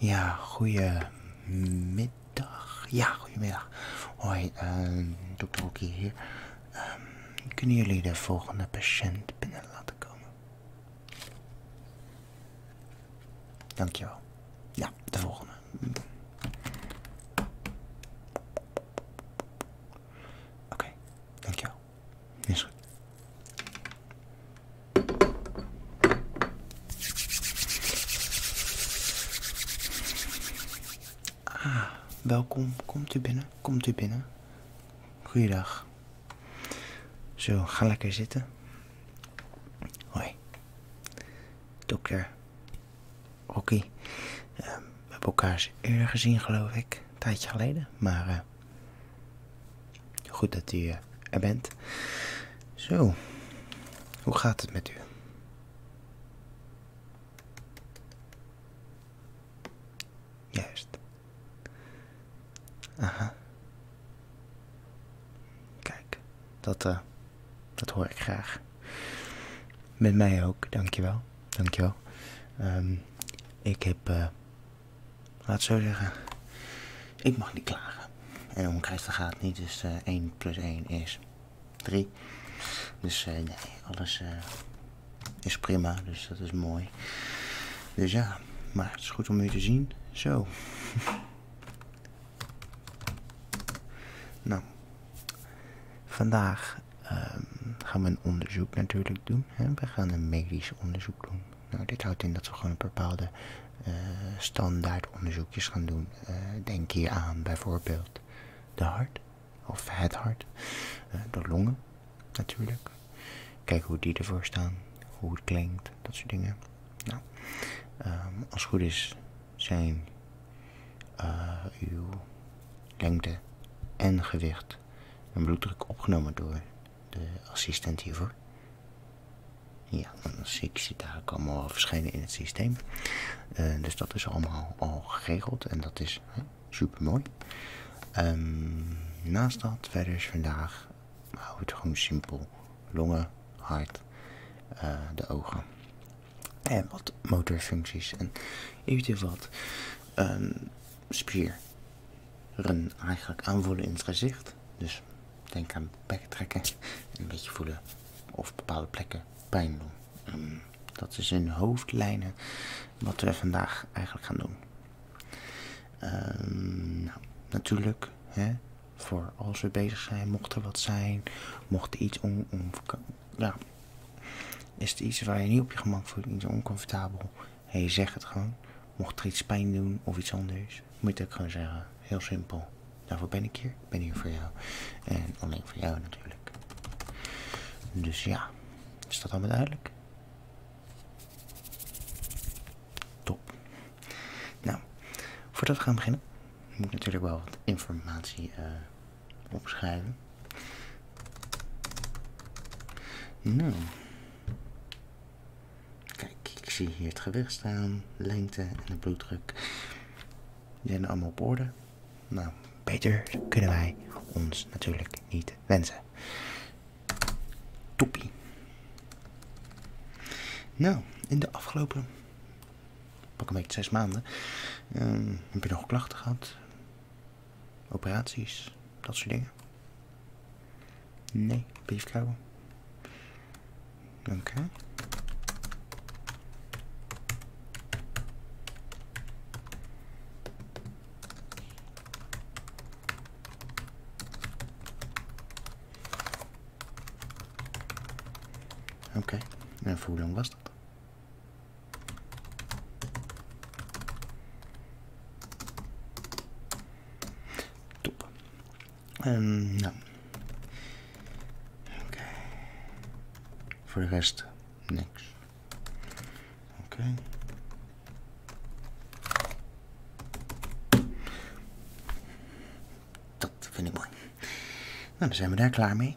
Ja, goedemiddag. Ja, goedemiddag. Hoi, ehm, dokter Hoekie hier. Ehm, kunnen jullie de volgende patiënt binnen laten komen? Dankjewel. Ja, de volgende. Oké, dankjewel. Ah, welkom. Komt u binnen. Komt u binnen. Goeiedag. Zo, ga lekker zitten. Hoi. Dokter Oké. Ehm, we hebben elkaar eerder gezien, geloof ik. Een tijdje geleden. Maar eh, goed dat u eh, er bent. Zo, hoe gaat het met u? Juist. Aha. Kijk, dat... Eh, dat hoor ik graag. Met mij ook, dankjewel. Dankjewel. Ehm, ik heb, eh, laat zo zeggen, ik mag niet klagen. En om Christen gaat niet, dus 1 eh, plus 1 is 3. Dus eh, nee, alles is prima, dus dat is mooi. Dus ja, maar het is goed om u te zien. Zo. nou, vandaag Ehm, gaan we een onderzoek natuurlijk doen. We gaan een medisch onderzoek doen. Nou, dit houdt in dat we gewoon bepaalde eh, standaard onderzoekjes gaan doen. Eh, denk hier aan bijvoorbeeld de hart, of het hart, eh, de longen natuurlijk. Kijk hoe die ervoor staan, hoe het klinkt, dat soort dingen. Nou, ehm, als het goed is zijn eh, uw lengte en gewicht en bloeddruk opgenomen door de assistent hiervoor. Ja, ik zie daar allemaal al verschijnen in het systeem. Eh, dus dat is allemaal al geregeld en dat is hè, super mooi. Ehm, naast dat verder is vandaag, hou het gewoon simpel, longen, hart, eh, de ogen. En wat motorfuncties en eventueel wat ehm, spier eigenlijk aanvoelen in het gezicht. Dus denk aan bek trekken en een beetje voelen of bepaalde plekken pijn doen. Ehm, dat is in hoofdlijnen wat we vandaag eigenlijk gaan doen. Ehm, nou, natuurlijk, hè, voor als we bezig zijn, mocht er wat zijn, mocht er iets onverkomen. on ja, is het iets waar je niet op je gemak voelt, niet oncomfortabel? Hé, hey, zeg het gewoon. Mocht er iets pijn doen of iets anders, moet ik het gewoon zeggen. Heel simpel. Daarvoor ben ik hier. Ik ben hier voor jou. En alleen voor jou natuurlijk. Dus ja, is dat allemaal duidelijk? Top. Nou, voordat we gaan beginnen, moet ik natuurlijk wel wat informatie eh, opschrijven. Nou. Kijk, ik zie hier het gewicht staan, lengte en de bloeddruk. Die zijn allemaal op orde. Nou, beter kunnen wij ons natuurlijk niet wensen. Toppie. Nou, in de afgelopen pak een beetje zes maanden. Ehm, heb je nog klachten gehad? Operaties, dat soort dingen? Nee, briefkouwen. Oké. Oké, en voor hoe lang was dat? Top. Um, nou. Oké. Voor de rest niks. Oké. Dat vind ik mooi. Nou, dan zijn we daar klaar mee.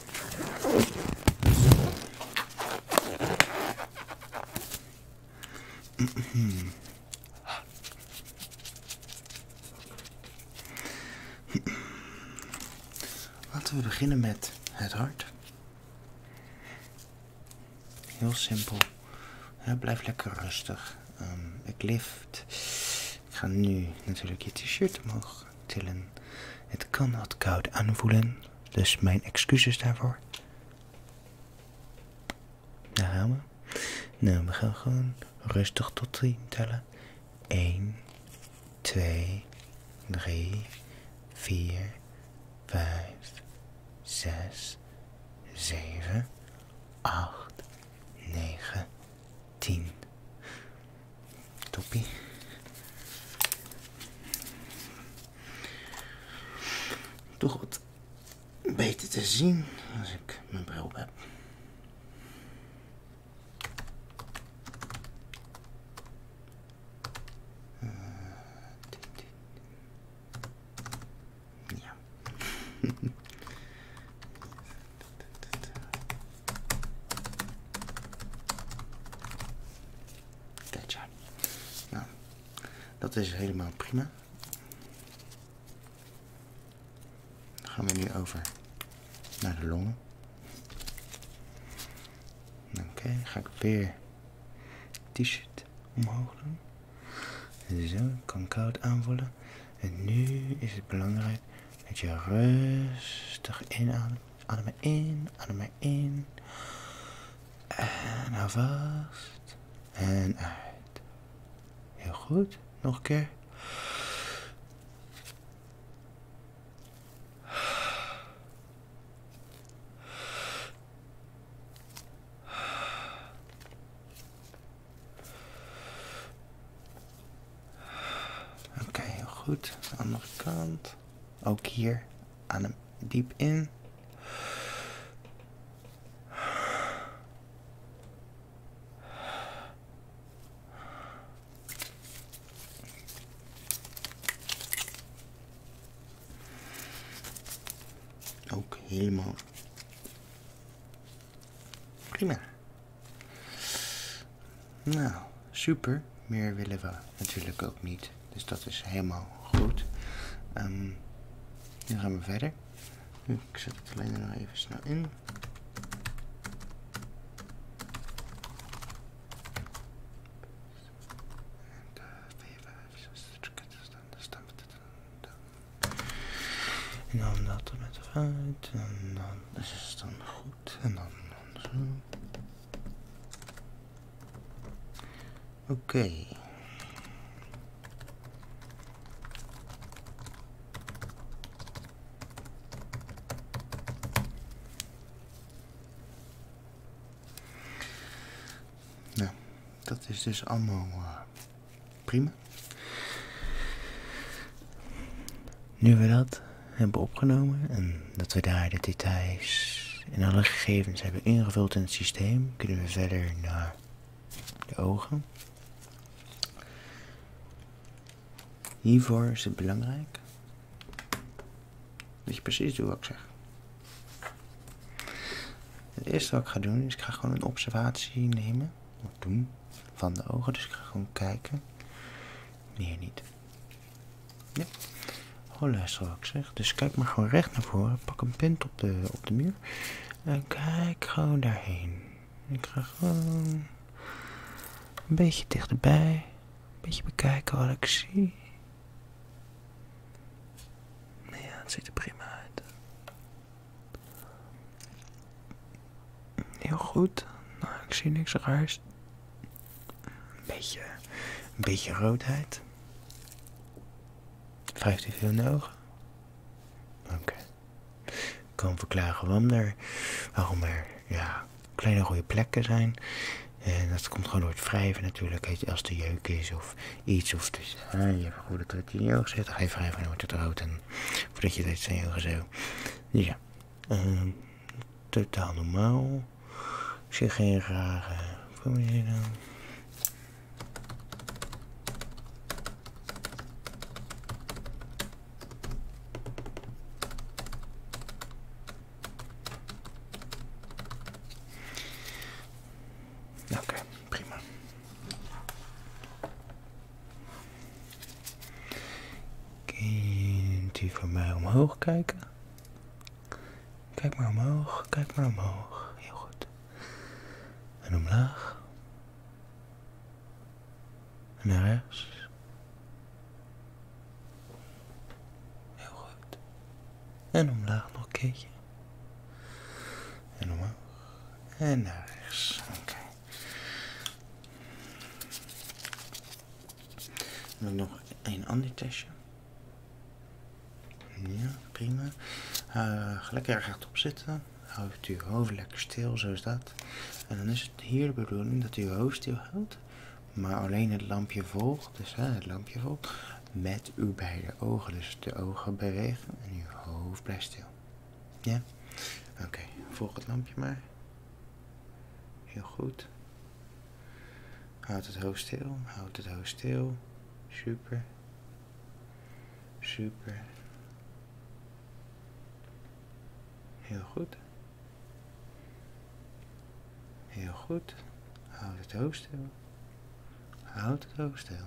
Laten we beginnen met het hart. Heel simpel. blijf lekker rustig. Ehm, ik lift. Ik ga nu natuurlijk je t-shirt omhoog tillen. Het kan wat koud aanvoelen, dus mijn excuses daarvoor. Daar gaan we. Nou, we gaan gewoon rustig tot 3 tellen. 1, 2, 3, 4, 5, 6, 7, 8, 9, 10. Toppie. Toch wat beter te zien als ik mijn bril op heb. Eh, ja. Kijk ja. Nou, dat is helemaal prima. Dan gaan we nu over naar de longen. Oké, dan ga ik weer t-shirt omhoog doen. Zo, kan koud aanvullen. En nu is het belangrijk dat je rustig inademt. Ademen in, ademen in. En hou vast. En uit. Heel goed. Nog een keer. Oké, heel goed. Aan de andere kant af. Ook hier. Adem diep in. Ook helemaal prima. Nou, super. Meer willen we natuurlijk ook niet. Dus dat is helemaal goed. Ehm, nu gaan we verder. Ik zet het alleen nog even snel in. En dan dat er met uit. En dan dus is het dan goed. En dan zo. Oké. Nou, dat is dus allemaal eh, prima. Nu we dat hebben opgenomen en dat we daar de details en alle gegevens hebben ingevuld in het systeem, kunnen we verder naar de ogen. Hiervoor is het belangrijk dat je precies doet wat ik zeg. Het eerste wat ik ga doen is, ik ga gewoon een observatie nemen, of doen, van de ogen. Dus ik ga gewoon kijken. Nee, niet. Ja. Oh, luister wat zeg. Dus kijk maar gewoon recht naar voren. Pak een pint op de, op de muur. En kijk gewoon daarheen. Ik ga gewoon een beetje dichterbij. Een beetje bekijken wat ik zie. Nee, het ziet er prima uit. Heel goed. Nou, ik zie niks raars. Een beetje, een beetje roodheid. Wrijft u veel in de ogen? Oké. Okay. Kan verklaren waarom er, waarom er ja, kleine rode plekken zijn. En dat komt gewoon door het wrijven natuurlijk. Als de jeuk is of iets. Of dus, je hebt een goede trit in je ogen zit. Hij wrijven en wordt het rood. En voordat je dit zijn je zo. Dus ja. Ehm, totaal normaal. Ik zie geen rare problemen. Oké, prima. Kunt u voor mij omhoog kijken? Kijk maar omhoog, kijk maar omhoog. Heel goed. En omlaag. En naar rechts. Heel goed. En omlaag nog een keertje. En omhoog. En naar rechts. Oké. Dan nog een ander testje. Ja, prima. Gelukkig eh, gaat lekker zitten. Houdt uw hoofd lekker stil, zo is dat. En dan is het hier de bedoeling dat u uw hoofd stil houdt. Maar alleen het lampje volgt, dus het lampje volgt, met uw beide ogen. Dus de ogen bewegen en uw hoofd blijft stil. Ja? Oké, volg het lampje maar. Heel goed. Houd het hoofd stil, houd het hoofd stil. Super. Super. Heel goed. Heel goed. Houd het hoofd stil. Houd het hoofd stil.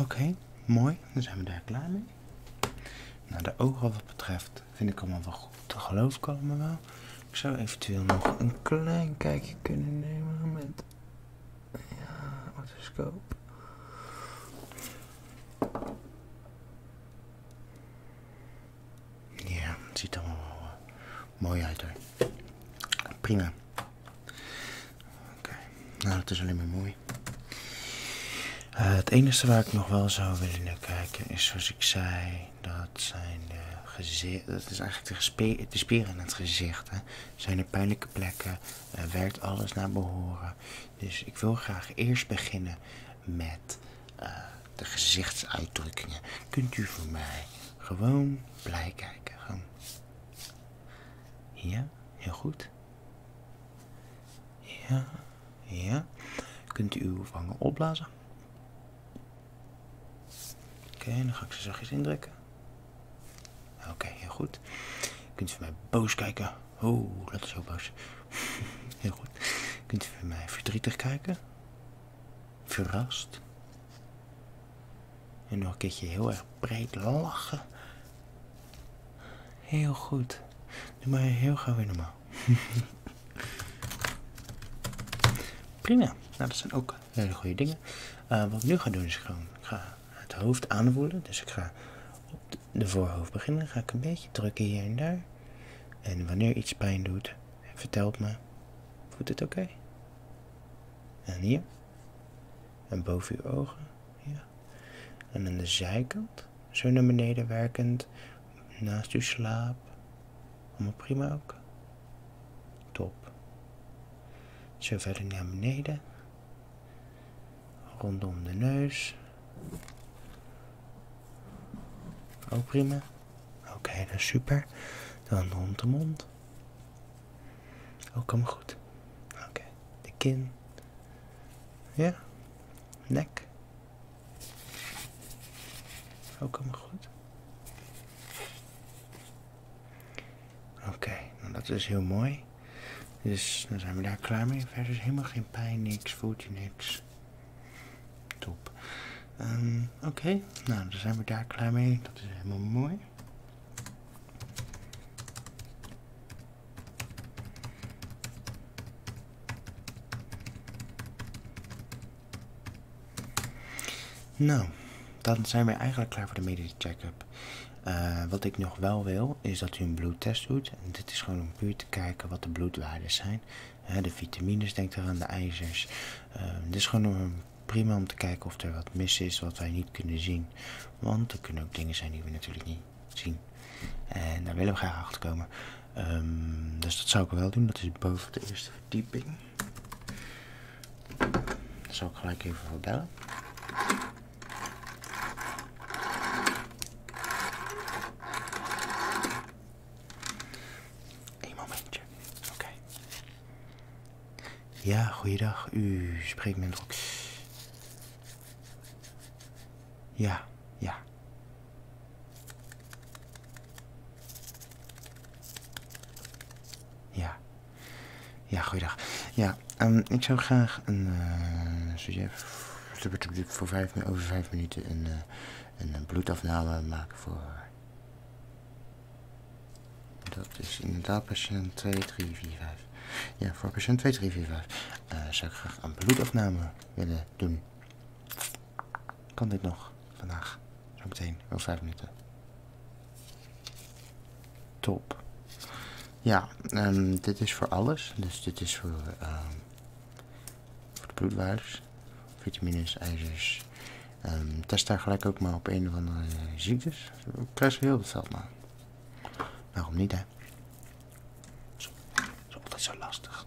Oké, mooi. Dan zijn we daar klaar mee. Nou, de ogen wat betreft vind ik allemaal wel goed. Dat geloof ik allemaal wel. Ik zou eventueel nog een klein kijkje kunnen nemen met... Ja, autoscope. Ja, het ziet allemaal wel eh, mooi uit hoor. Prima. Oké, nou dat is alleen maar mooi. Eh, het enige waar ik nog wel zou willen kijken is zoals ik zei, dat zijn de gezicht, dat is eigenlijk de, spieren in het gezicht. Hè. Zijn er pijnlijke plekken? werkt alles naar behoren? Dus ik wil graag eerst beginnen met eh, de gezichtsuitdrukkingen. Kunt u voor mij gewoon blij kijken? Gewoon. Ja, heel goed. Ja, ja. Kunt u uw vangen opblazen? Oké, dan ga ik ze zachtjes indrukken. Oké, heel goed. Kunt u voor mij boos kijken? Oh, dat is zo boos. heel goed. Kunt u voor mij verdrietig kijken? Verrast? En nog een keertje heel erg breed lachen. Heel goed. Doe maar heel gauw weer normaal. Prima. Nou, dat zijn ook hele goede dingen. Eh, wat ik nu ga doen is gewoon, ik ga het hoofd aanvoelen. Dus ik ga op de voorhoofd beginnen. ga ik een beetje drukken hier en daar. En wanneer iets pijn doet, vertelt me. Voelt het oké? En hier en boven uw ogen. Ja. En in de zijkant, zo naar beneden werkend, naast uw slaap. Allemaal prima ook. Top. Zo verder naar beneden. Rondom de neus. Ook prima. Oké, dat is super. Dan rond de mond ook oh, kom goed. Oké. De kin. Ja. Nek. ook oh, kom goed. Oké, nou dat is heel mooi. Dus dan zijn we daar klaar mee. Verder is helemaal geen pijn, niks, voelt je niks. Top. Ehm, oké, nou dan zijn we daar klaar mee. Dat is helemaal mooi. Nou, dan zijn we eigenlijk klaar voor de medische check-up. Eh, wat ik nog wel wil, is dat u een bloedtest doet. dit is gewoon om puur te kijken wat de bloedwaarden zijn. de vitamines, denk aan de ijzers. Eh, dit is gewoon om, prima om te kijken of er wat mis is wat wij niet kunnen zien. Want er kunnen ook dingen zijn die we natuurlijk niet zien. En daar willen we graag achter komen. Ehm, dus dat zou ik wel doen. Dat is boven de eerste verdieping. Daar zal ik gelijk even voor bellen. Een momentje. Oké. Ja, goeiedag. U spreekt met Rox. Ja, ja. Ja. Ja, goeiedag. Ja, ehm, ik zou graag een uh, eh, sujet voor vijf, over vijf minuten een, eh, een eh, bloedafname maken voor... Dat is inderdaad patiënt 2, 3, 4, 5. Ja, voor patiënt 2345 eh, zou ik graag een bloedafname willen doen. Kan dit nog vandaag? zo meteen over 5 minuten. Top. Ja, ehm, dit is voor alles. Dus dit is voor, ehm, voor de bloedwaardes, vitamines, ijzers. Ehm, test daar gelijk ook maar op een of andere ziektes. Ik krijg heel veel maar. Waarom niet hè? Zo, dat is altijd zo lastig.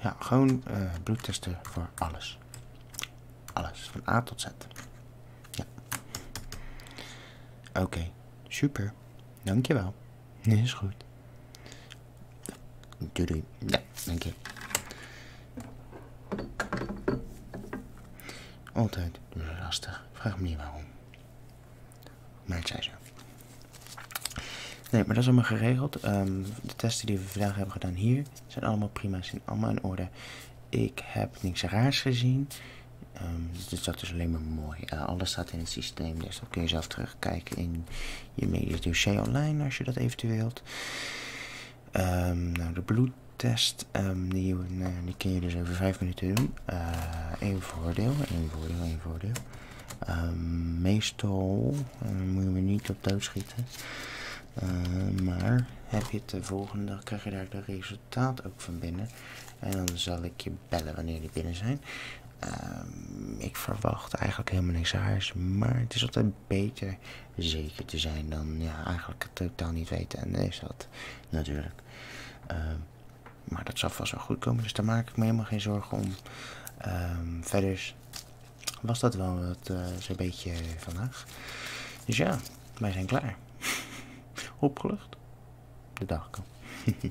Ja, gewoon eh, bloedtesten voor alles. Alles, van A tot Z. Ja. Oké, super. Dankjewel. Nee, is goed. Doei Ja, dank je. Altijd lastig. Vraag me niet waarom. Maar het zei zo. Nee, maar dat is allemaal geregeld. Ehm, de testen die we vandaag hebben gedaan hier zijn allemaal prima, zijn allemaal in orde. Ik heb niks raars gezien. Ehm, dus dat is dus alleen maar mooi. Eh, alles staat in het systeem, dus dat kun je zelf terugkijken in je medisch dossier online als je dat eventueel wilt. Ehm, nou, de bloedtest, die, eh, die kun je dus over vijf minuten doen. Een eh, voordeel, een voordeel, een voordeel. Ehm, meestal eh, moet je me niet op dood schieten. Eh, maar heb je de volgende, dan krijg je daar de resultaat ook van binnen. En dan zal ik je bellen wanneer die binnen zijn. Ehm ik verwacht eigenlijk helemaal niks haars. Maar het is altijd beter zeker te zijn dan ja, eigenlijk het totaal niet weten. En is dat natuurlijk. Ehm maar dat zal vast wel goed komen, dus daar maak ik me helemaal geen zorgen om. Ehm, verder was dat wel wat, eh, zo'n beetje vandaag. Dus ja, wij zijn klaar. Opgelucht. De dag kan.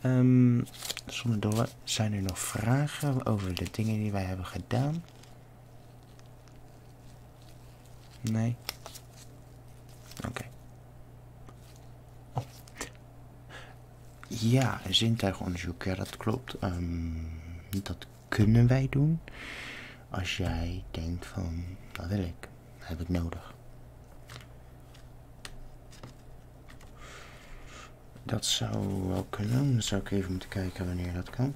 Ehm, zonder dolle, zijn er nog vragen over de dingen die wij hebben gedaan? Nee. Oké. Ja, Oh. Ja, zintuigonderzoek. Ja, dat klopt. Ehm, dat kunnen wij doen. Als jij denkt van, dat wil ik. Dat heb ik nodig. Dat zou wel kunnen. Dan zou ik even moeten kijken wanneer dat kan.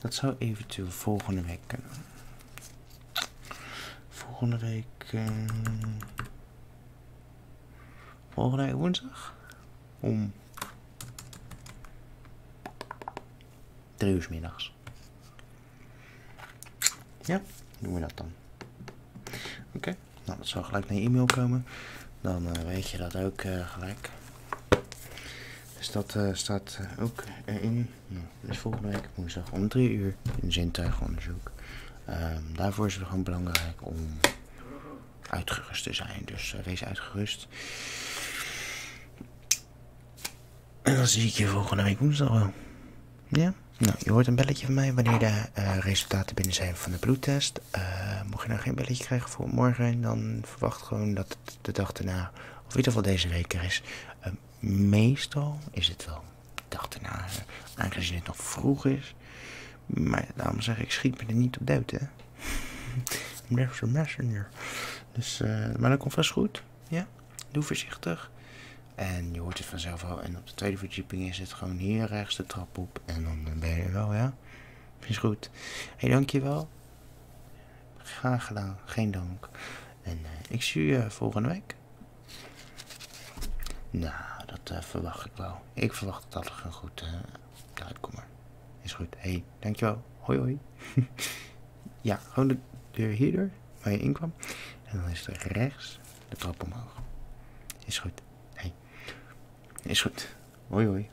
Dat zou eventueel volgende week kunnen. Volgende week. Ehm, volgende week woensdag? Om. drie uur middags. Ja, doen we dat dan. Oké, dan nou dat zal gelijk naar je e-mail komen. Dan eh, weet je dat ook eh, gelijk. Dus dat eh, staat eh, ook erin. Eh, nou, dus volgende week woensdag om 3 uur in zintuigonderzoek. Ehm, daarvoor is het gewoon belangrijk om uitgerust te zijn. Dus wees uitgerust. En dan zie ik je volgende week woensdag wel. Ja? Nou, je hoort een belletje van mij wanneer de resultaten binnen zijn van de bloedtest. mocht je nou geen belletje krijgen voor morgen, dan verwacht gewoon dat het de dag erna of in ieder geval deze week er is. Eh, meestal is het wel dag erna, eh, aangezien het nog vroeg is. Maar daarom zeg ik, schiet me er niet op uit hè. There's a messenger. Dus, eh, maar dat komt vast goed. Ja, doe voorzichtig. En je hoort het vanzelf al. En op de tweede verdieping is het gewoon hier rechts de trap op. En dan ben je er wel, ja. Is goed. Hé, dankjewel. Graag gedaan, geen dank. En eh, ik zie je eh, volgende week. Nou, dat eh, verwacht ik wel. Ik verwacht dat er een goed kom maar. Is goed. hey, dankjewel. Hoi hoi. ja, gewoon de deur hierdoor, waar je in kwam En dan is het rechts de trap omhoog. Is goed. hey. is goed. Hoi hoi.